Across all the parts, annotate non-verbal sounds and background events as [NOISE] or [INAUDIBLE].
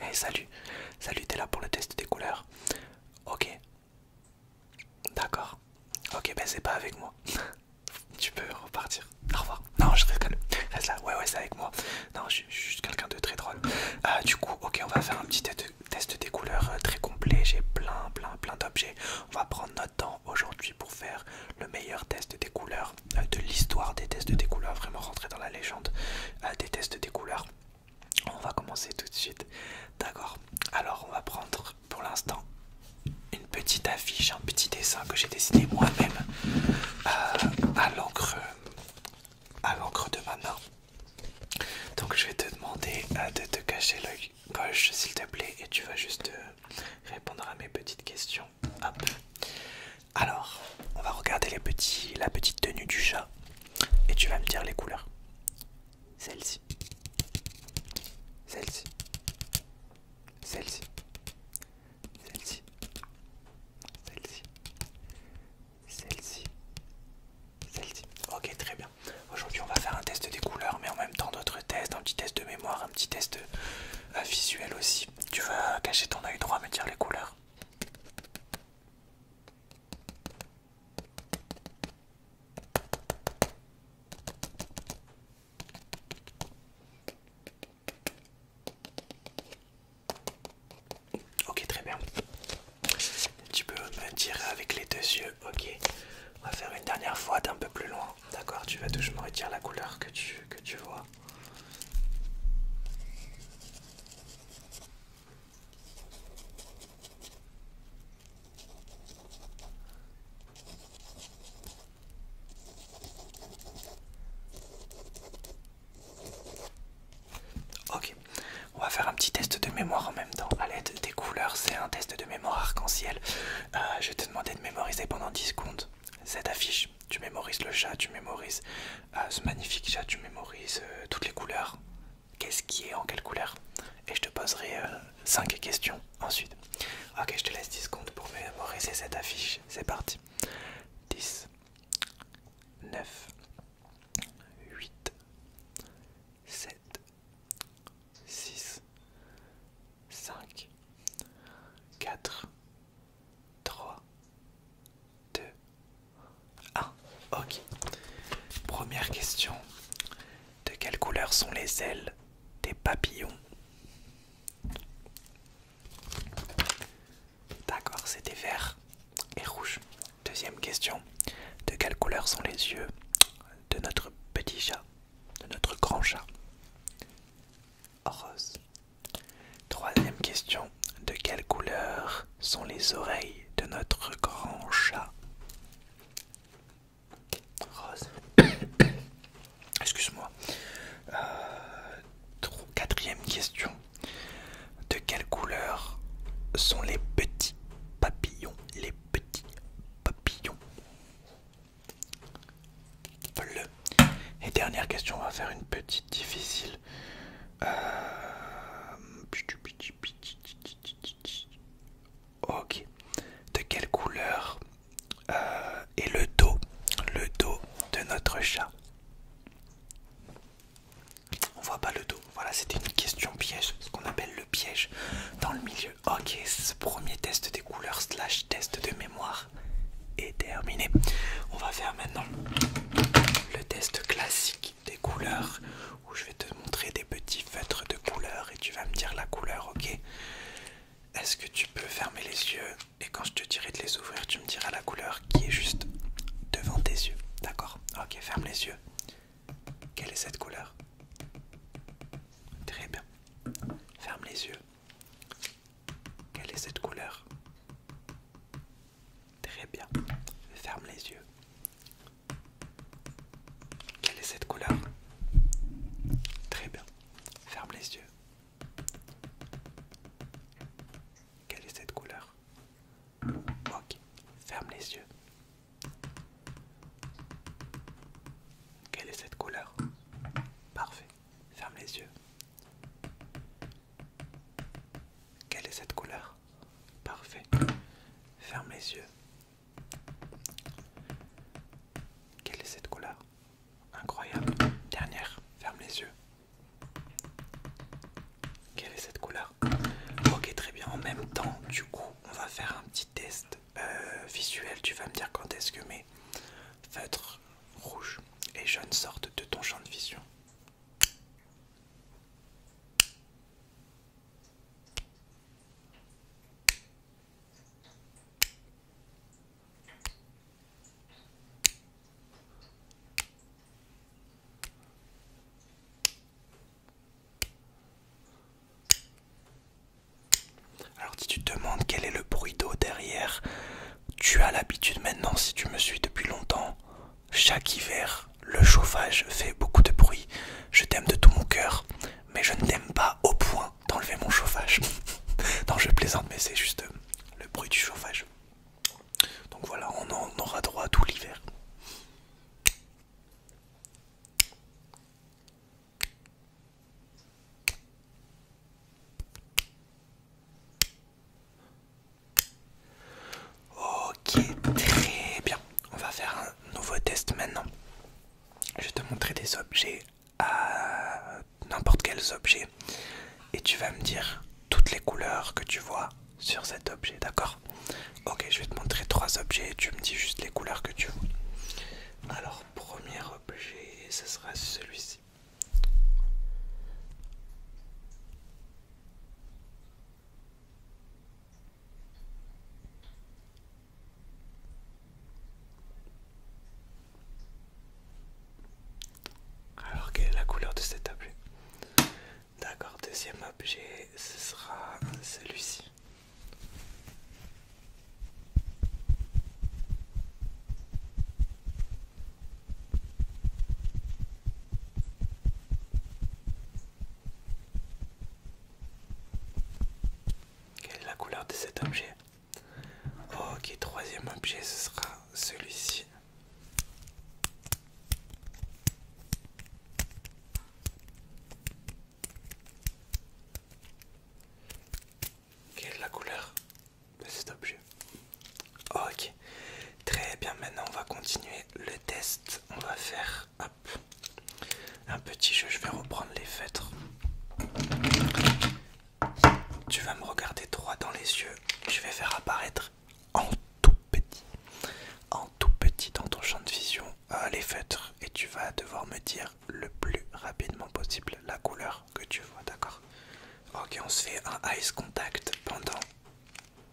Hey eh, salut, salut t'es là pour le test des couleurs Ok, d'accord. Ok ben c'est pas avec moi. [LAUGHS] tu peux repartir. Au revoir. Non je Reste là. Ouais ouais c'est avec moi. Non je, suis juste quelqu'un de très drôle. Euh, du coup ok on va faire un petit test des couleurs euh, très complet. J'ai plein plein plein d'objets. On va prendre notre temps aujourd'hui pour faire le meilleur test des couleurs euh, de l'histoire des tests des couleurs, vraiment rentrer dans la légende euh, des tests des couleurs. On va commencer tout de suite. D'accord. Alors on va prendre pour l'instant une petite affiche, un petit dessin que j'ai dessiné moi-même euh, à l'encre à l'encre de ma main. Donc je vais te demander de te cacher l'œil gauche s'il te plaît et tu vas juste répondre à mes petites questions alors, on va regarder la petite tenue du chat et tu vas me dire les couleurs. Celle-ci. Celle-ci. Celle-ci. Celle-ci. Celle-ci. Celle-ci. Celle-ci. Ok, très bien. Aujourd'hui, on va faire un test des couleurs, mais en même temps d'autres tests, un petit test de mémoire, un petit test euh, visuel aussi. Tu vas cacher ton œil droit, me dire les couleurs. Ok, très bien. Tu peux me tirer avec les deux yeux, ok. On va faire une dernière fois d'un peu plus loin, d'accord Tu vas toujours me la couleur que tu vois. Ok, on va faire un petit test de mémoire en même temps. À l'aide des couleurs, c'est un test de mémoire arc-en-ciel. Euh, je te demander de mémoriser pendant 10 secondes cette affiche. Tu mémorises le chat, tu mémorises euh, ce magnifique chat, tu mémorises euh, toutes les couleurs. Qu'est-ce qui est en quelle couleur Et je te poserai 5 euh, questions ensuite. Ok, je te laisse 10 comptes pour mémoriser cette affiche. C'est parti. 10, 9, 8, 7, 6, 5, 4, 3, 2, 1. Ok. Première question. De quelle couleur sont les ailes des papillons D'accord, c'était vert et rouge. Deuxième question. De quelle couleur sont les yeux de notre petit chat, de notre grand chat rose. Troisième question. De quelle couleur sont les oreilles de notre grand chat Rose. [COUGHS] Excuse-moi. Euh, quatrième question. De quelle couleur sont les petits papillons Les petits papillons et dernière question, on va faire une petite difficile. Euh, ok. De quelle couleur euh, est le dos, le dos de notre chat On voit pas le dos. Voilà, c'était une question piège, ce qu'on appelle le piège dans le milieu. Ok, ce premier test couleurs slash test de mémoire est terminé. On va faire maintenant le test classique des couleurs où je vais te montrer des petits feutres de couleurs et tu vas me dire la couleur, ok Est-ce que tu peux fermer les yeux et quand je te dirai de les ouvrir, tu me diras la couleur qui est juste devant tes yeux, d'accord Ok, ferme les yeux. Quelle est cette couleur Très bien. Ferme les yeux. Quelle est cette couleur Très bien. Ferme les yeux. Quelle est cette couleur Très bien. Ferme les yeux. Quelle est cette couleur Ok. Ferme les yeux. Quelle est cette couleur Parfait. Ferme les yeux. Quelle est cette couleur Parfait. Ferme les yeux. Quelle est cette couleur Incroyable. Dernière. Ferme les yeux. Quelle est cette couleur Ok, très bien. En même temps, du coup, on va faire un petit test euh, Visuel, tu vas me dire quand est-ce que mes feutres rouges et jaunes sortent de ton champ de vision. Alors si tu te demandes quel est le bruit d'eau derrière, tu as l'habitude maintenant, si tu me suis depuis longtemps, chaque hiver, le chauffage fait beaucoup de bruit. Je t'aime de tout mon cœur, mais je ne t'aime pas au point d'enlever mon chauffage. [LAUGHS] non, je plaisante, mais c'est juste euh, le bruit du chauffage. Donc voilà, on en aura droit tout l'hiver. Ok, très bien. On va faire un nouveau test maintenant. Je vais te montrer des objets à n'importe quels objets et tu vas me dire toutes les couleurs que tu vois sur cet objet, d'accord Ok, je vais te montrer trois objets tu me dis juste les couleurs que tu vois. Alors, premier objet, ce sera celui-ci. Alors, quelle est la couleur de cet objet D'accord, deuxième objet, ce sera celui-ci. Quelle est la couleur de cet objet Ok, troisième objet, ce sera celui-ci. Quelle est la couleur de cet objet Ok, très bien. Maintenant, on va continuer le test. On va faire un petit jeu. Je vais reprendre les feutres. Tu vas me regarder droit dans les yeux. Je vais faire apparaître en tout petit, en tout petit dans ton champ de vision ah, les feutres et tu vas devoir me dire le plus rapidement possible la couleur que tu vois, d'accord Ok, on se fait un ice contact pendant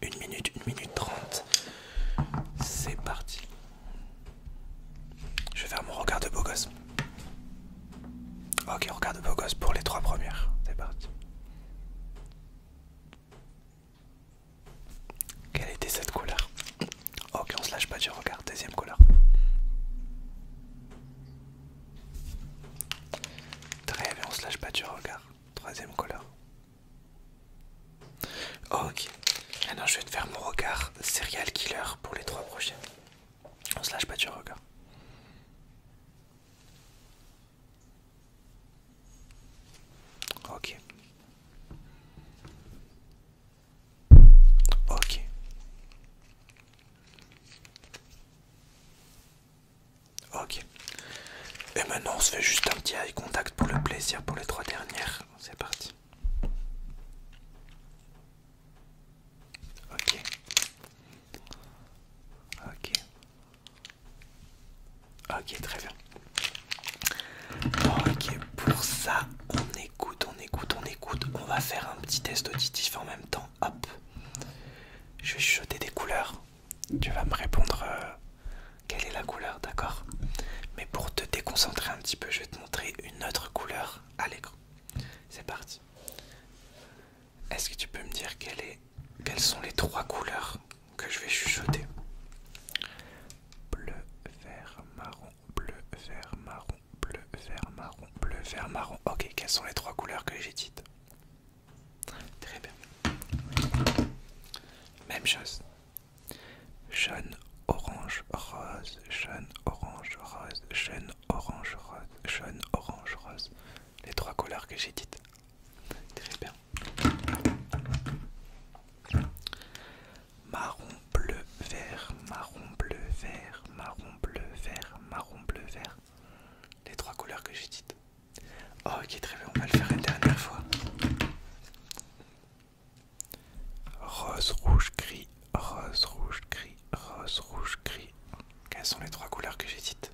une minute, une minute trente. C'est parti. Je vais faire mon regard de beau gosse. Ok, regard de beau gosse pour les trois premières. C'est parti. Quelle était cette couleur Ok, on se lâche pas du regard. Deuxième couleur. Très bien, on se lâche pas du regard. Troisième couleur. Ok, maintenant je vais te faire mon regard serial killer pour les trois prochains. On se lâche pas du regard. Ok. Ok. Ok. Et maintenant on se fait juste un petit eye contact pour le plaisir pour les trois dernières. C'est parti. Ok. Ok. Ok, très bien. Ok, pour ça, on écoute, on écoute, on écoute. On va faire un petit test auditif en même temps. Hop. Je vais jeter des couleurs. Tu vas me répondre euh, quelle est la couleur, d'accord Mais pour te déconcentrer un petit peu, je vais te montrer une autre couleur à l'écran. C'est parti. Est-ce que tu peux me dire quelles sont les trois couleurs que je vais chuchoter. Bleu, vert, marron, bleu, vert, marron, bleu, vert, marron, bleu, vert, marron. Ok, quelles sont les trois couleurs que j'ai dites Très bien. Même chose. Jaune, orange, rose, jaune, orange, rose, jaune, orange, rose, jaune, orange, rose. Les trois couleurs que j'ai dites. Très bien. Marron, bleu, vert, marron, bleu, vert, marron, bleu, vert, marron, bleu, vert. Les trois couleurs que j'ai dites. Oh, ok, très bien, on va le faire une dernière fois. Rose, rouge, gris, rose, rouge, gris, rose, rouge, gris. Quelles sont les trois couleurs que j'ai dites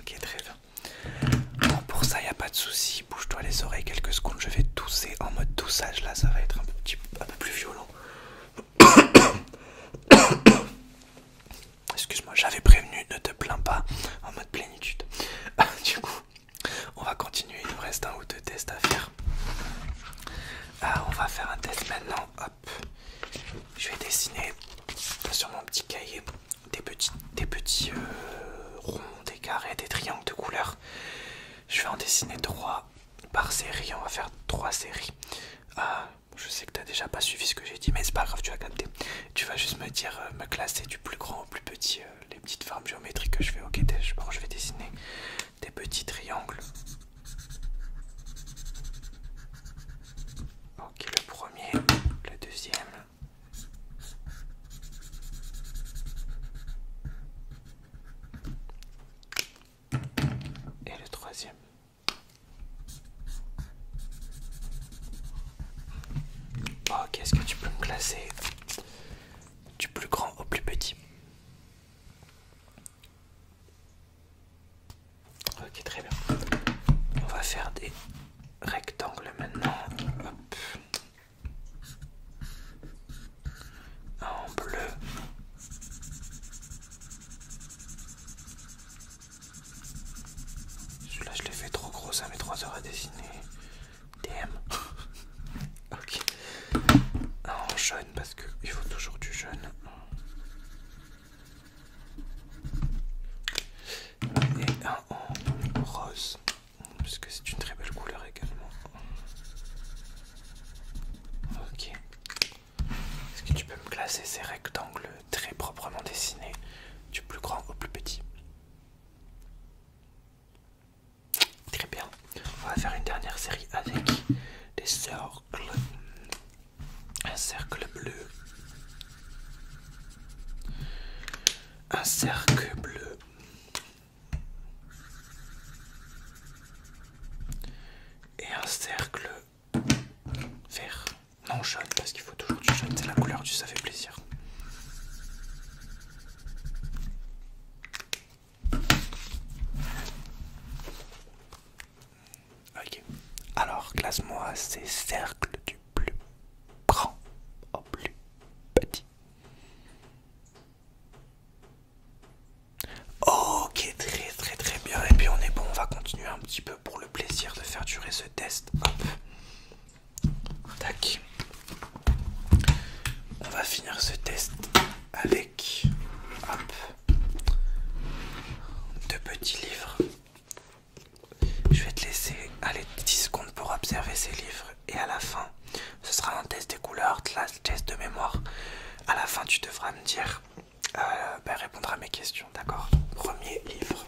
Ok, très bien. Bon, pour ça, il a pas de souci. Bouge-toi les oreilles quelques secondes. Je vais tousser en mode toussage. Là, ça va être un peu, petit, plus violent. [COUGHS] Excuse-moi, j'avais prévenu. Ne te plains pas en mode plénitude. [LAUGHS] Ah, du coup, on va continuer. Il nous reste un ou deux tests à faire. Ah, on va faire un test maintenant. Hop, je vais dessiner sur mon petit cahier des petits, des petits euh, ronds, des carrés, des triangles de couleurs. Je vais en dessiner trois par série. On va faire trois séries. Ah, je sais que tu as déjà pas suivi ce que j'ai dit, mais c'est pas grave, tu vas capter. Tu vas juste me dire, euh, me classer du plus grand au plus petit, euh, les petites formes géométriques que je fais. Ok, bon, je vais dessiner des petits triangles. Ok, le premier, le deuxième, et le troisième. Ok, oh, qu'est-ce que tu peux me classer du plus grand au plus petit Ok, très bien. On va faire des rectangles maintenant. Hop. en bleu. Celui-là, je l'ai fait trop gros, ça met 3 heures à dessiner. DM. [LAUGHS] ok. en jaune parce qu'il faut toujours du jaune et un en rose parce que c'est une très belle couleur également ok est-ce que tu peux me classer ces rectangles très proprement dessinés du plus grand au plus petit Très bien, on va faire une dernière série avec des cercles un cercle bleu, un cercle bleu, et un cercle vert, non jaune parce qu'il faut toujours du jaune, c'est la couleur du ça fait plaisir. Ok. Alors, classe-moi ces cercles du plus grand au plus petit. Ok, très très très bien. Et puis on est bon, on va continuer un petit peu pour le plaisir de faire durer ce test. Tac. On va finir ce test avec deux petits livres je vais te laisser aller 10 secondes pour observer ces livres et à la fin, ce sera un test des couleurs, un test de mémoire. À la fin, tu devras me dire, euh, ben, répondre à mes questions, d'accord Premier livre.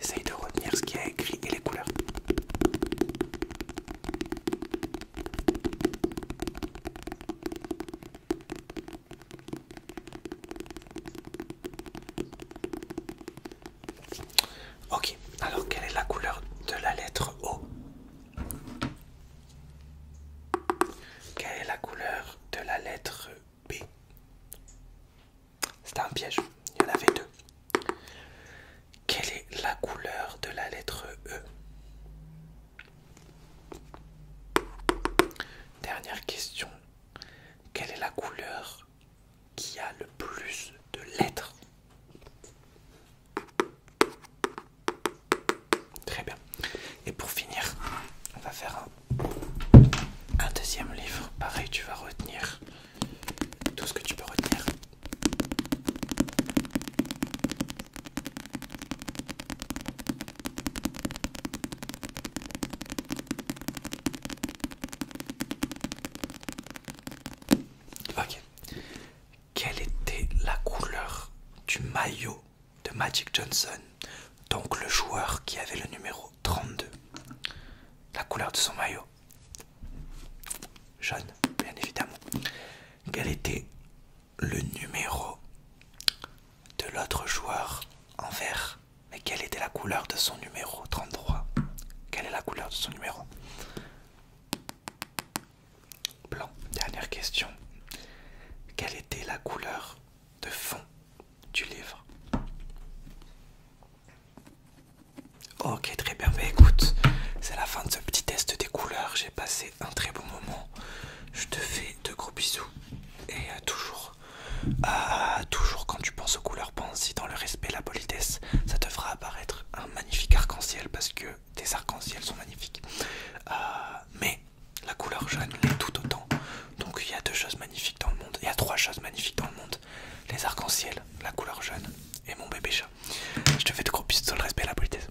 Essaye de retenir ce qui y a écrit et les couleurs. Ok, alors quelle est la couleur de la lettre O Quelle est la couleur de la lettre B C'était un piège, il y en avait deux. Quelle est la couleur de la lettre E Dernière question. Quelle est la couleur qui a le plus de lettres Très bien. Et pour finir, on va faire un, deuxième livre. Pareil, tu vas retenir tout ce que tu peux retenir. Ok. Quelle était la couleur du maillot de Magic Johnson, donc le joueur qui avait le numéro 32 La couleur de son maillot Jaune, bien évidemment. Quelle était le numéro de l'autre joueur en vert. Mais quelle était la couleur de son numéro 33 Quelle est la couleur de son numéro Blanc. Dernière question. Quelle était la couleur de fond du livre Ok, très bien. Ben, écoute, c'est la fin de ce petit test des couleurs. J'ai passé un très beau moment. Je te fais de gros bisous et à toujours, toujours quand tu penses aux couleurs, pense-y dans le respect, la politesse, ça te fera apparaître un magnifique arc-en-ciel parce que tes arcs-en-ciel sont magnifiques. Euh, mais la couleur jaune l'est tout autant. Donc il y a deux choses magnifiques dans le monde, il y a trois choses magnifiques dans le monde les arcs-en-ciel, la couleur jaune et mon bébé chat. Je te fais de gros bisous sur le respect la politesse.